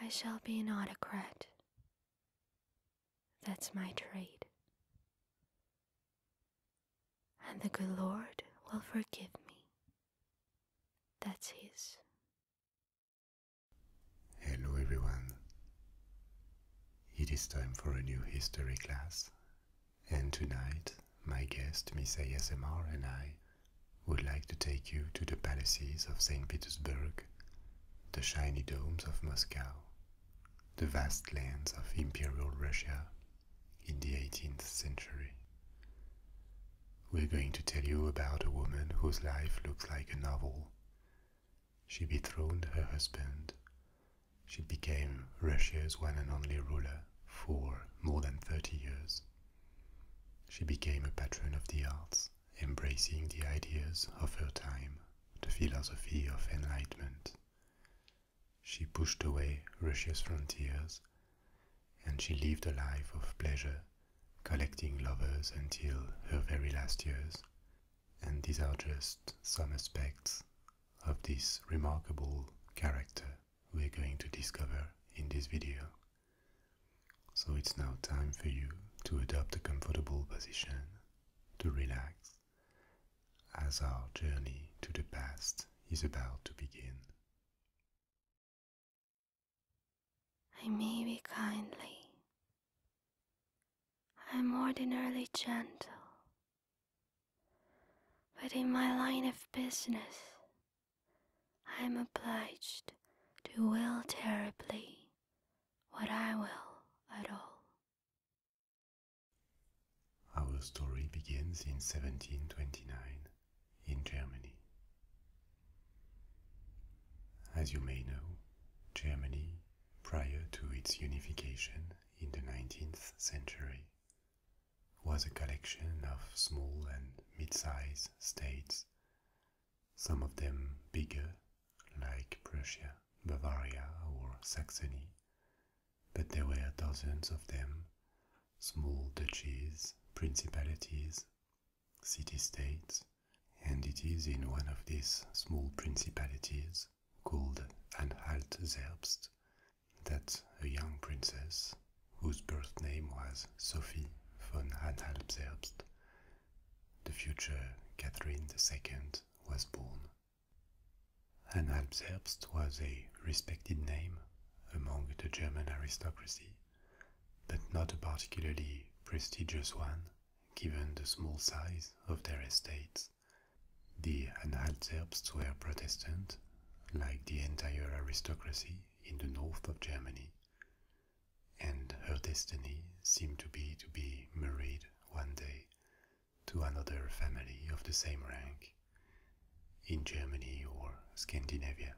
I shall be an autocrat. That's my trade. And the good Lord will forgive me. That's His. Hello, everyone. It is time for a new history class. And tonight, my guest, Miss ASMR, and I would like to take you to the palaces of St. Petersburg, the shiny domes of Moscow, the vast lands of Imperial Russia in the 18th century. We're going to tell you about a woman whose life looks like a novel. She dethroned her husband. She became Russia's one and only ruler for more than 30 years. She became a patron of the arts, embracing the ideas of her time, the philosophy of enlightenment. She pushed away Russia's frontiers, and she lived a life of pleasure, collecting lovers until her very last years. And these are just some aspects of this remarkable character we're going to discover in this video. So it's now time for you to adopt a comfortable position, to relax, as our journey to the past is about to begin. I may be kindly. I'm ordinarily gentle. But in my line of business, I am obliged to will terribly what I will at all. Our story begins in 1729 in Germany. As you may know, Germany, prior to its unification in the 19th century, was a collection of small and mid-sized states, some of them bigger, like Prussia, Bavaria, or Saxony, but there were dozens of them, small duchies, principalities, city-states, and it is in one of these small principalities, called Anhalt-Zerbst, that a young princess, whose birth name was Sophie von Anhalt-Zerbst, the future Catherine II, was born. Anhalt-Zerbst was a respected name among the German aristocracy, but not a particularly prestigious one, given the small size of their estates. The Anhalt-Zerbsts were Protestant, like the entire aristocracy, in the north of Germany, and her destiny seemed to be to be married one day to another family of the same rank in Germany or Scandinavia.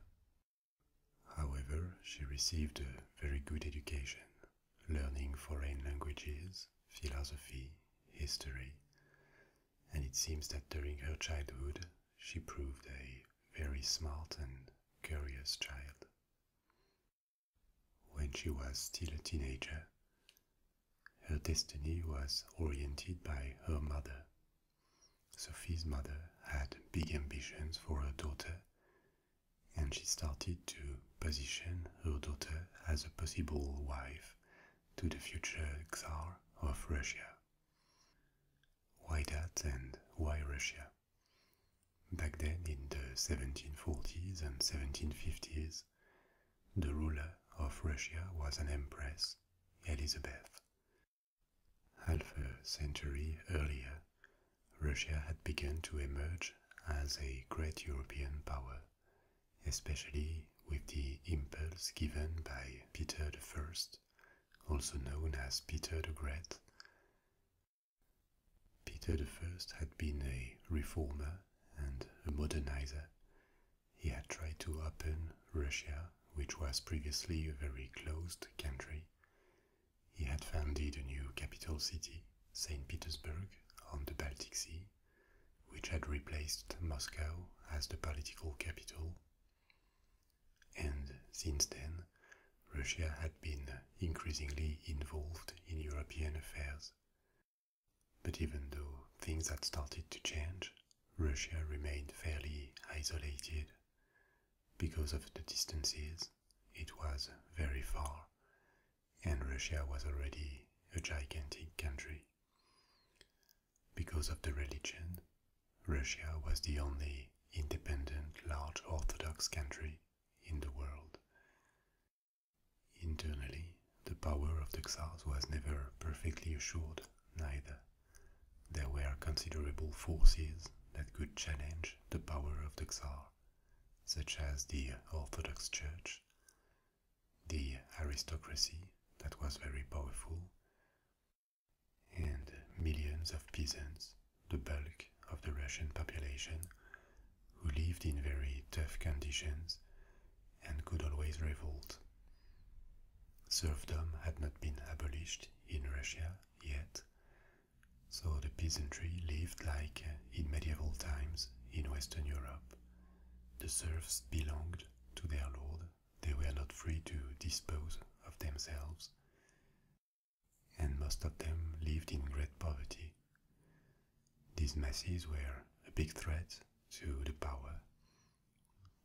However, she received a very good education, learning foreign languages, philosophy, history, and it seems that during her childhood she proved a very smart and curious child. When she was still a teenager, her destiny was oriented by her mother. Sophie's mother had big ambitions for her daughter, and she started to position her daughter as a possible wife to the future czar of Russia. Why that and why Russia? Back then, in the 1740s and 1750s, the ruler of Russia was an empress, Elizabeth. Half a century earlier, Russia had begun to emerge as a great European power, especially with the impulse given by Peter the First also known as Peter the Great. Peter the First had been a reformer and a modernizer. He had tried to open Russia, which was previously a very closed country. He had founded a new capital city, St. Petersburg, on the Baltic Sea, which had replaced Moscow as the political capital. And since then, Russia had been increasingly involved in European affairs. But even though things had started to change, Russia remained fairly isolated. Because of the distances, it was very far, and Russia was already a gigantic country because of the religion, Russia was the only independent large Orthodox country in the world. Internally, the power of the Tsars was never perfectly assured, neither. There were considerable forces that could challenge the power of the Tsar, such as the Orthodox Church, the aristocracy that was very powerful, and millions of peasants, the bulk of the Russian population, who lived in very tough conditions and could always revolt. Serfdom had not been abolished in Russia yet, so the peasantry lived like uh, in medieval times in Western Europe. The serfs belonged to their lord they were not free to dispose of themselves, and most of them lived in great poverty. These masses were a big threat to the power.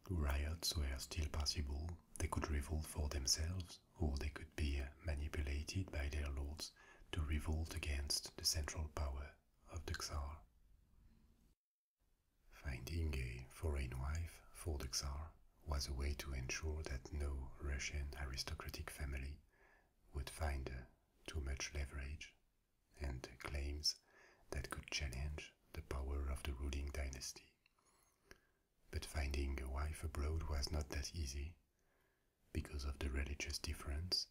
Riots were still possible, they could revolt for themselves, or they could be manipulated by their lords to revolt against the central power of the Tsar. Finding a foreign wife for the Tsar was a way to ensure that no Russian aristocratic family would find uh, too much leverage and claims that could challenge the power of the ruling dynasty. But finding a wife abroad was not that easy because of the religious difference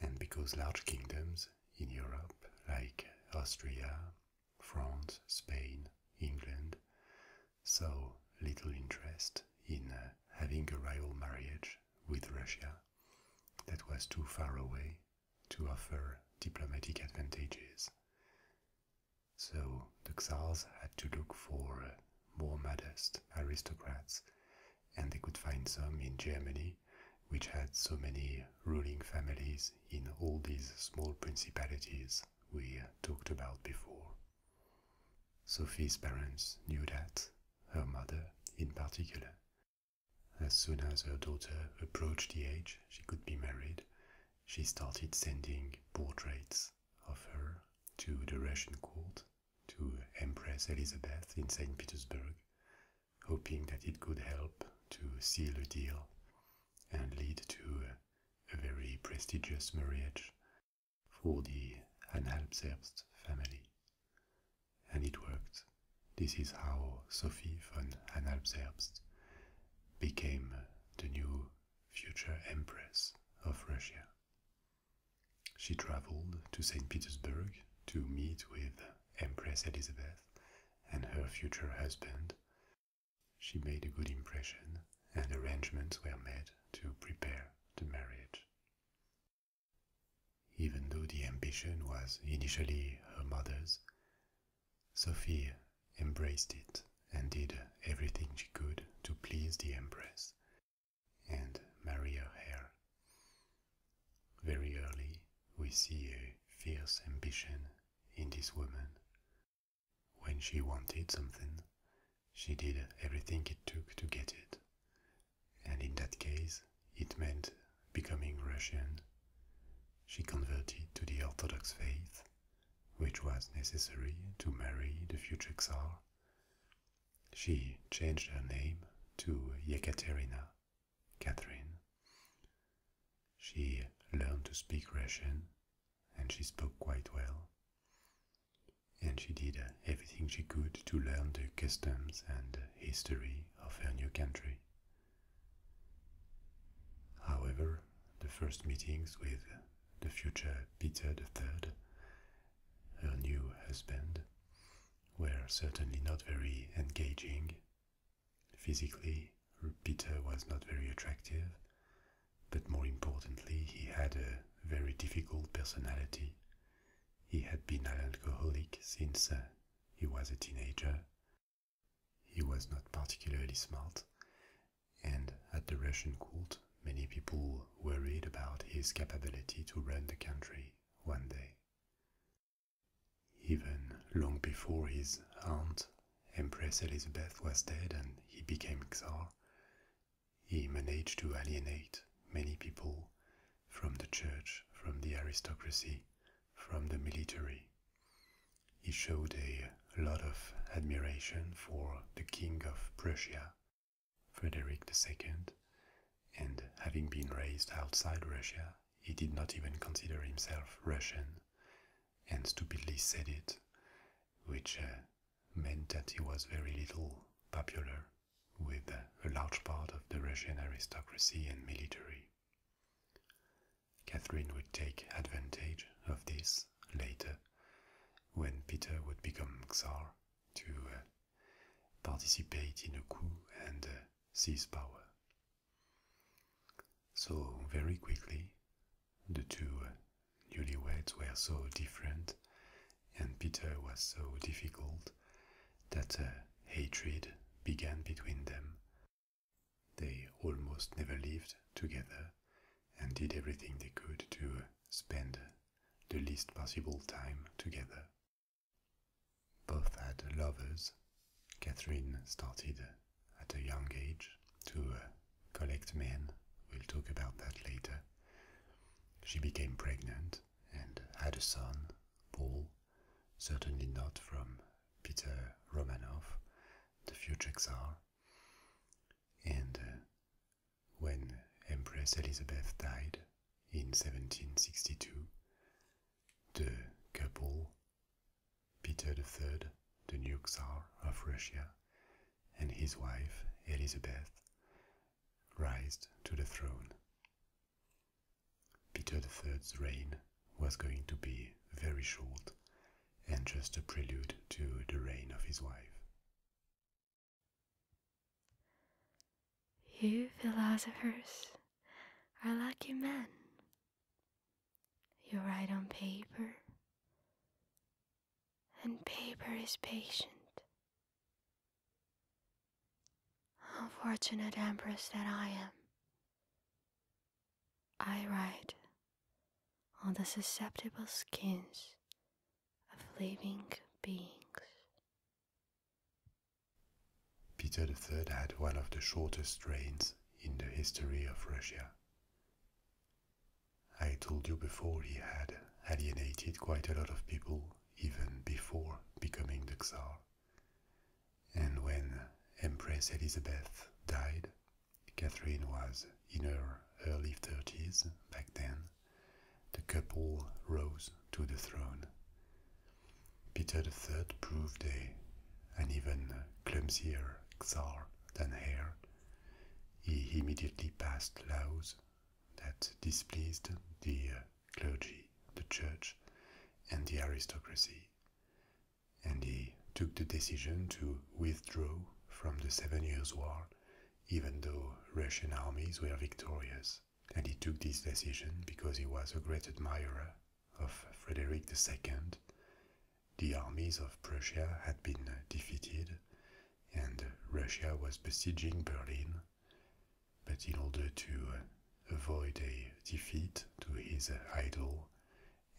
and because large kingdoms in Europe, like Austria, France, Spain, England so little interest in uh, having a rival marriage with Russia that was too far away to offer diplomatic advantages. So the Tsars had to look for uh, more modest aristocrats, and they could find some in Germany, which had so many ruling families in all these small principalities we talked about before. Sophie's parents knew that, her mother in particular. As soon as her daughter approached the age she could be married, she started sending portraits of her to the Russian court, to Empress Elizabeth in St. Petersburg, hoping that it could help to seal a deal and lead to a very prestigious marriage for the anhalt family. And it worked. This is how Sophie von anhalt became the new future empress of Russia. She traveled to St. Petersburg to meet with Empress Elizabeth and her future husband, she made a good impression, and arrangements were made to prepare the marriage. Even though the ambition was initially her mother's, Sophie embraced it and did everything she could to please the Empress and marry her heir. Very early, we see a fierce ambition in this woman. When she wanted something, she did everything it took to get it. And in that case, it meant becoming Russian. She converted to the Orthodox faith, which was necessary to marry the future Tsar. She changed her name to Yekaterina, Catherine. She learned to speak Russian and she spoke quite well. And she did uh, everything she could to learn the customs and history of her new country. However, the first meetings with the future Peter III, her new husband, were certainly not very engaging Physically, Peter was not very attractive, but more importantly, he had a very difficult personality. He had been an alcoholic since uh, he was a teenager. He was not particularly smart, and at the Russian court, many people worried about his capability to run the country one day even long before his aunt, Empress Elizabeth, was dead and he became czar, he managed to alienate many people from the church, from the aristocracy, from the military. He showed a lot of admiration for the King of Prussia, Frederick II, and having been raised outside Russia, he did not even consider himself Russian and stupidly said it, which uh, meant that he was very little popular with uh, a large part of the Russian aristocracy and military. Catherine would take advantage of this later, when Peter would become czar, to uh, participate in a coup and seize power. So, very quickly, the two uh, newlyweds were so different, and Peter was so difficult, that uh, hatred began between them. They almost never lived together and did everything they could to uh, spend the least possible time together. Both had lovers Catherine started at a young age to uh, collect men. We'll talk about that later. She became pregnant and had a son, Paul, certainly not from Peter Romanov, the future Tsar. And uh, when Empress Elizabeth died in 1762, the couple Peter III, the new Tsar of Russia, and his wife Elizabeth rised to the throne. Peter III's reign was going to be very short and just a prelude to the reign of his wife. You philosophers are lucky men, you write on paper, and paper is patient. Unfortunate empress that I am, I write on the susceptible skins of living beings. Peter III had one of the shortest reigns in the history of Russia. I told you before he had alienated quite a lot of people even before becoming the czar. And when Empress Elizabeth died, Catherine was in her early 30s back then. The couple rose to the throne. Peter the Third proved a an even clumsier czar than Hare, he immediately passed laws that displeased the uh, clergy, the church, and the aristocracy, and he took the decision to withdraw from the Seven Years' War, even though Russian armies were victorious. And he took this decision because he was a great admirer of Frederick II, the armies of Prussia had been defeated, and Russia was besieging Berlin. But in order to uh, avoid a defeat to his idol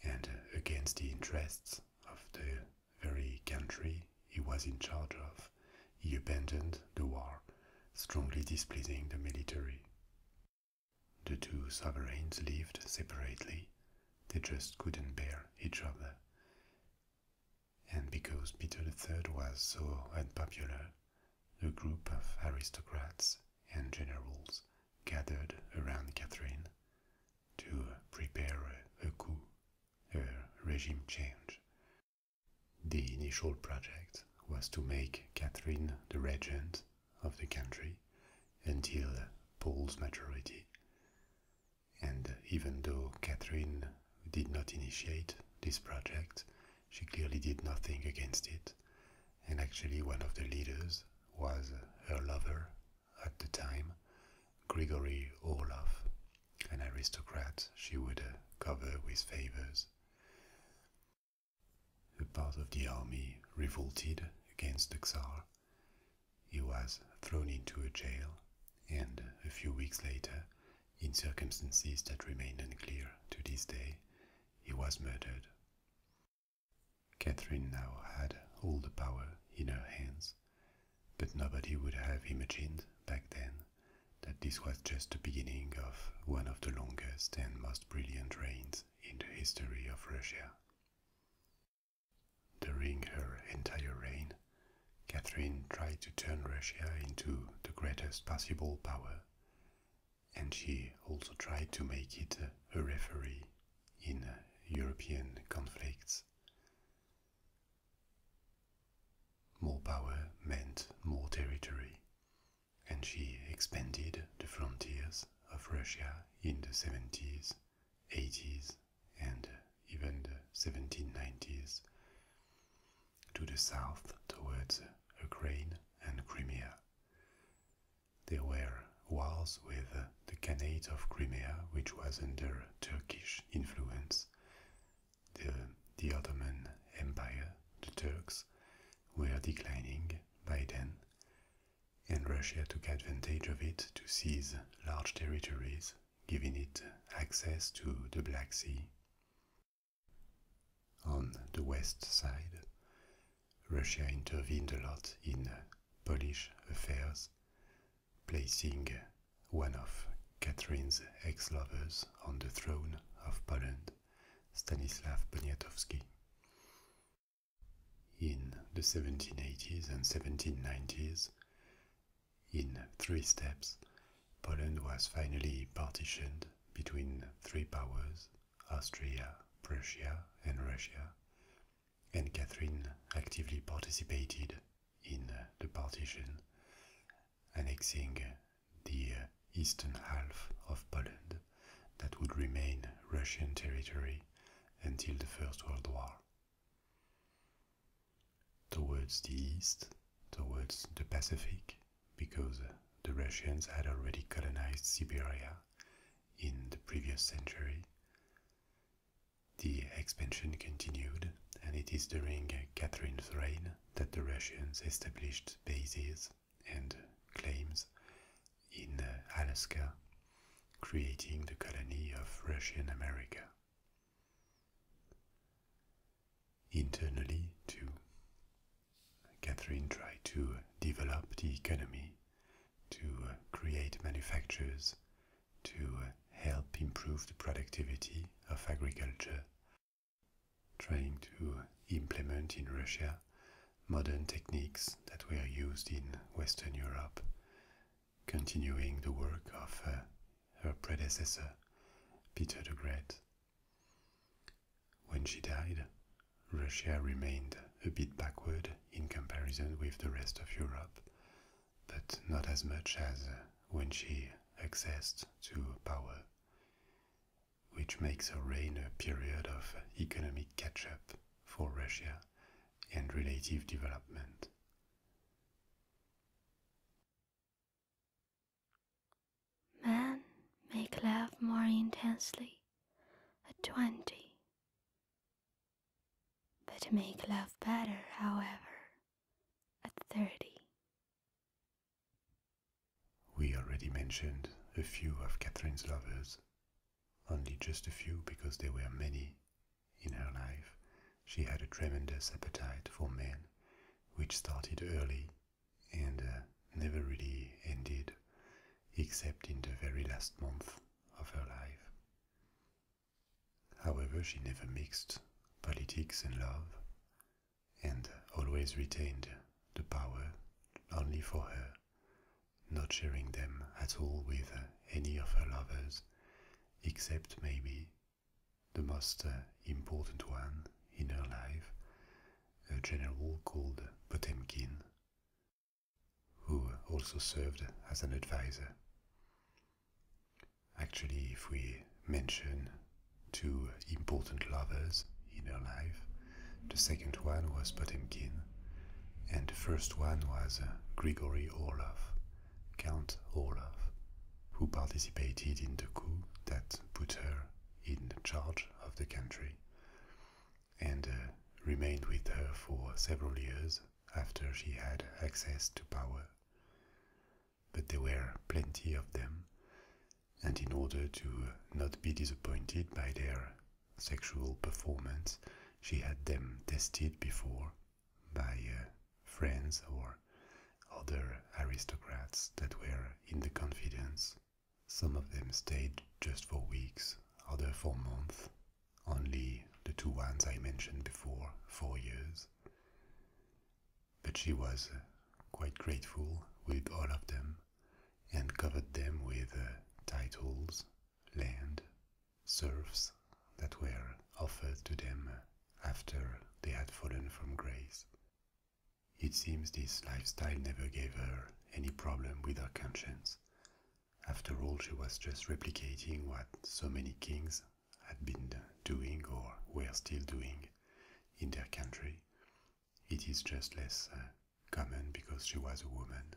and against the interests of the very country he was in charge of, he abandoned the war, strongly displeasing the military. The two sovereigns lived separately, they just couldn't bear each other. And because Peter III was so unpopular, a group of aristocrats and generals gathered around Catherine to prepare a coup, a regime change. The initial project was to make Catherine the regent of the country until Paul's majority, and even though Catherine did not initiate this project, she clearly did nothing against it, and actually one of the leaders was her lover at the time, Grigory Orlov, an aristocrat she would cover with favors a part of the army revolted against the czar. He was thrown into a jail, and a few weeks later, in circumstances that remain unclear to this day, he was murdered. Catherine now had all the power in her hands, but nobody would have imagined back then that this was just the beginning of one of the longest and most brilliant reigns in the history of Russia. During her entire reign, Catherine tried to turn Russia into the greatest possible power, and she also tried to make it a referee in uh, European conflicts. More power meant more territory, and she expanded the frontiers of Russia in the 70s, 80s, and even the 1790s, to the south towards Ukraine and Crimea. There were wars with the Khanate of Crimea, which was under Turkish influence, the, the Ottoman Empire, the Turks, were declining by then, and Russia took advantage of it to seize large territories, giving it access to the Black Sea. On the west side, Russia intervened a lot in Polish affairs, placing one of Catherine's ex-lovers on the throne of Poland, Stanislav Poniatowski. In the 1780s and 1790s, in three steps, Poland was finally partitioned between three powers Austria, Prussia, and Russia, and Catherine actively participated in the partition, annexing the eastern half of Poland that would remain Russian territory until the First World War. Towards the east, towards the Pacific, because the Russians had already colonized Siberia in the previous century. The expansion continued, and it is during Catherine's reign that the Russians established bases and claims in uh, Alaska, creating the colony of Russian America. Internally, too, Catherine tried to develop the economy, to uh, create manufactures, to uh, help improve the productivity of agriculture, trying to implement in Russia modern techniques that were used in Western Europe, continuing the work of uh, her predecessor, Peter the Great. When she died, Russia remained a bit backward in comparison with the rest of Europe, but not as much as when she accessed to power, which makes her reign a period of economic catch up for Russia and relative development. Men make love more intensely at 20, but make love better, however, at 30. We already mentioned a few of Catherine's lovers only just a few because there were many. In her life, she had a tremendous appetite for men, which started early and uh, never really ended, except in the very last month of her life. However, she never mixed politics and love, and uh, always retained the power only for her not sharing them at all with any of her lovers, except maybe the most uh, important one in her life, a general called Potemkin, who also served as an advisor. Actually, if we mention two important lovers in her life, the second one was Potemkin, and the first one was uh, Grigory Orlov, Count Orlov, who participated in the coup that put her in charge of the country and uh, remained with her for several years after she had access to power. But there were plenty of them, and in order to not be disappointed by their sexual performance. She had them tested before by uh, friends or other aristocrats that were in the confidence. Some of them stayed just for weeks, others for months. Only the two ones I mentioned before, four years. But she was uh, quite grateful with all of them and covered them with uh, titles land, serfs that were offered to them after they had fallen from grace. It seems this lifestyle never gave her any problem with her conscience. After all, she was just replicating what so many kings had been doing or were still doing in their country. It is just less uh, common because she was a woman.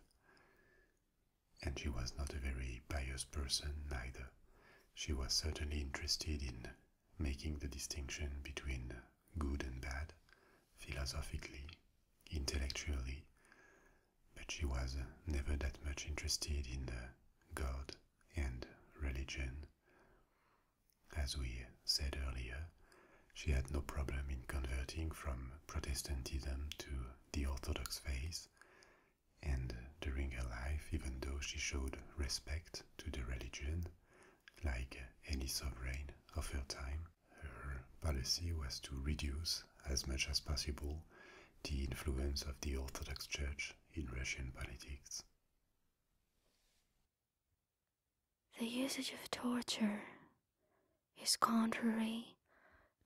And she was not a very pious person either. She was certainly interested in making the distinction between good and bad, philosophically, intellectually, but she was never that much interested in God and religion. As we said earlier, she had no problem in converting from Protestantism to the Orthodox faith, and during her life, even though she showed respect to the religion, like any sovereign of her time, her policy was to reduce as much as possible the influence of the Orthodox Church in Russian politics. The usage of torture is contrary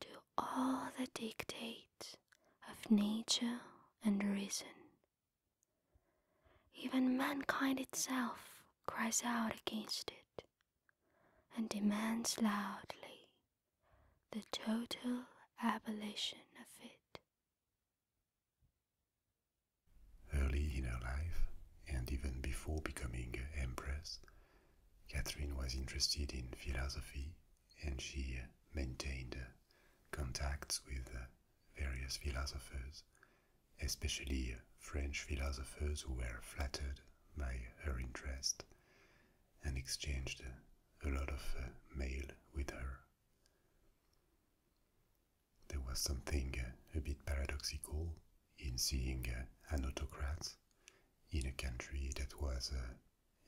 to all the dictates of nature and reason. Even mankind itself cries out against it and demands loudly the total abolition of it. Early in her life, and even before becoming empress, Catherine was interested in philosophy and she maintained contacts with various philosophers, especially French philosophers who were flattered by her interest and exchanged a lot of uh, mail with her. There was something uh, a bit paradoxical in seeing uh, an autocrat in a country that was uh,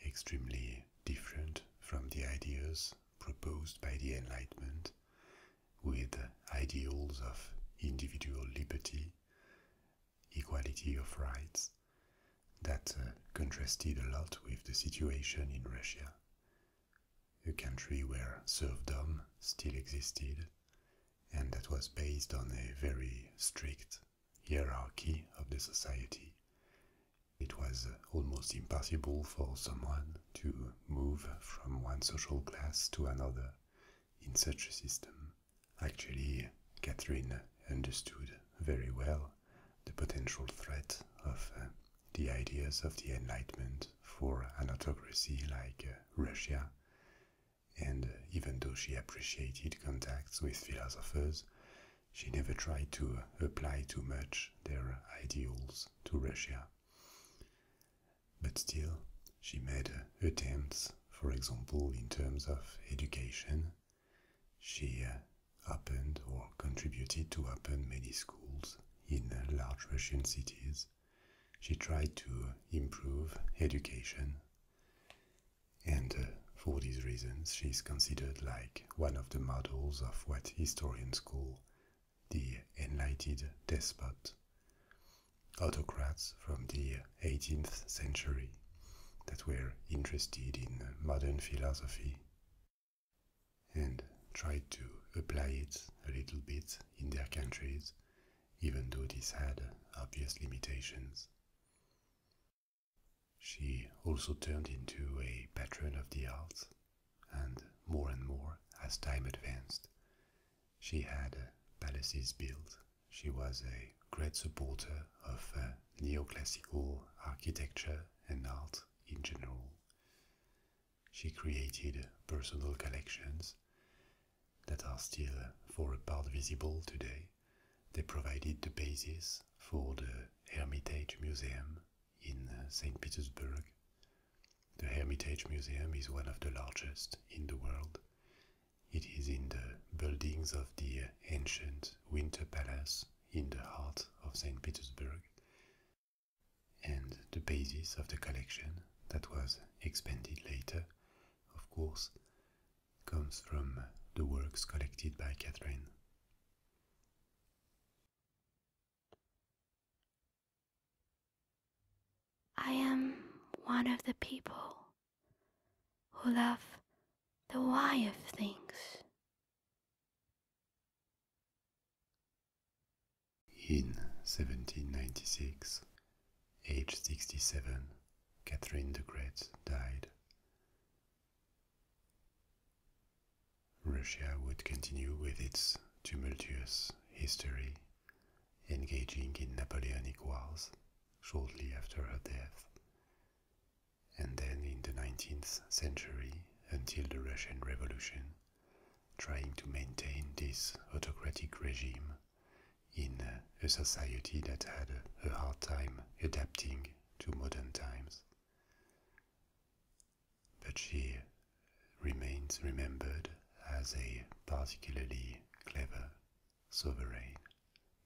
extremely different from the ideas proposed by the Enlightenment, with uh, ideals of individual liberty, equality of rights, that contrasted a lot with the situation in Russia, a country where serfdom still existed and that was based on a very strict hierarchy of the society. It was almost impossible for someone to move from one social class to another in such a system. Actually, Catherine understood very well the potential threat of uh, the ideas of the Enlightenment for an autocracy like uh, Russia and uh, even though she appreciated contacts with philosophers, she never tried to uh, apply too much their ideals to Russia. But still, she made uh, attempts, for example, in terms of education. She opened or contributed to open many schools in large Russian cities. She tried to improve education and uh, for these reasons she is considered like one of the models of what historians call the enlightened despot, autocrats from the 18th century that were interested in modern philosophy and tried to apply it a little bit in their countries, even though this had obvious limitations. She also turned into a patron of the arts, and more and more, as time advanced, she had uh, palaces built. She was a great supporter of uh, neoclassical architecture and art in general. She created uh, personal collections that are still for a part visible today, they provided the basis for the Hermitage Museum in uh, St. Petersburg. The Hermitage Museum is one of the largest in the world. It is in the buildings of the ancient Winter Palace in the heart of St. Petersburg and the basis of the collection that was expanded later, of course, comes from the works collected by Catherine. I am one of the people who love the why of things. In 1796, Age 67, Catherine the Great died. Russia would continue with its tumultuous history, engaging in Napoleonic Wars shortly after her death, and then in the 19th century until the Russian Revolution, trying to maintain this autocratic regime in uh, a society that had a hard time adapting to modern times. But she remains remembered as a particularly clever sovereign,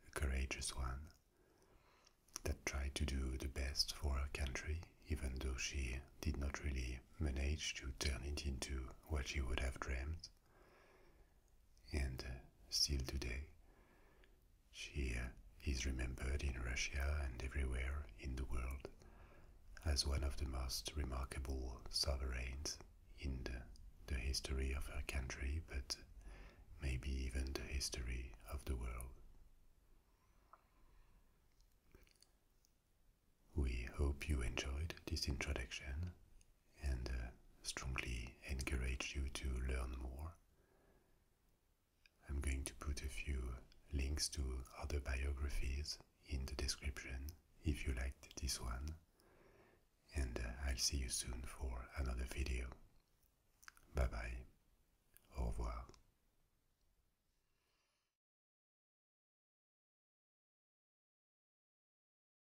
a courageous one, that tried to do the best for her country, even though she did not really manage to turn it into what she would have dreamed and uh, still today, she uh, is remembered in Russia and everywhere in the world as one of the most remarkable sovereigns in the, history of her country, but maybe even the history of the world. We hope you enjoyed this introduction and uh, strongly encourage you to learn more. I'm going to put a few links to other biographies in the description if you liked this one, and uh, I'll see you soon for another video. Bye bye. Au revoir.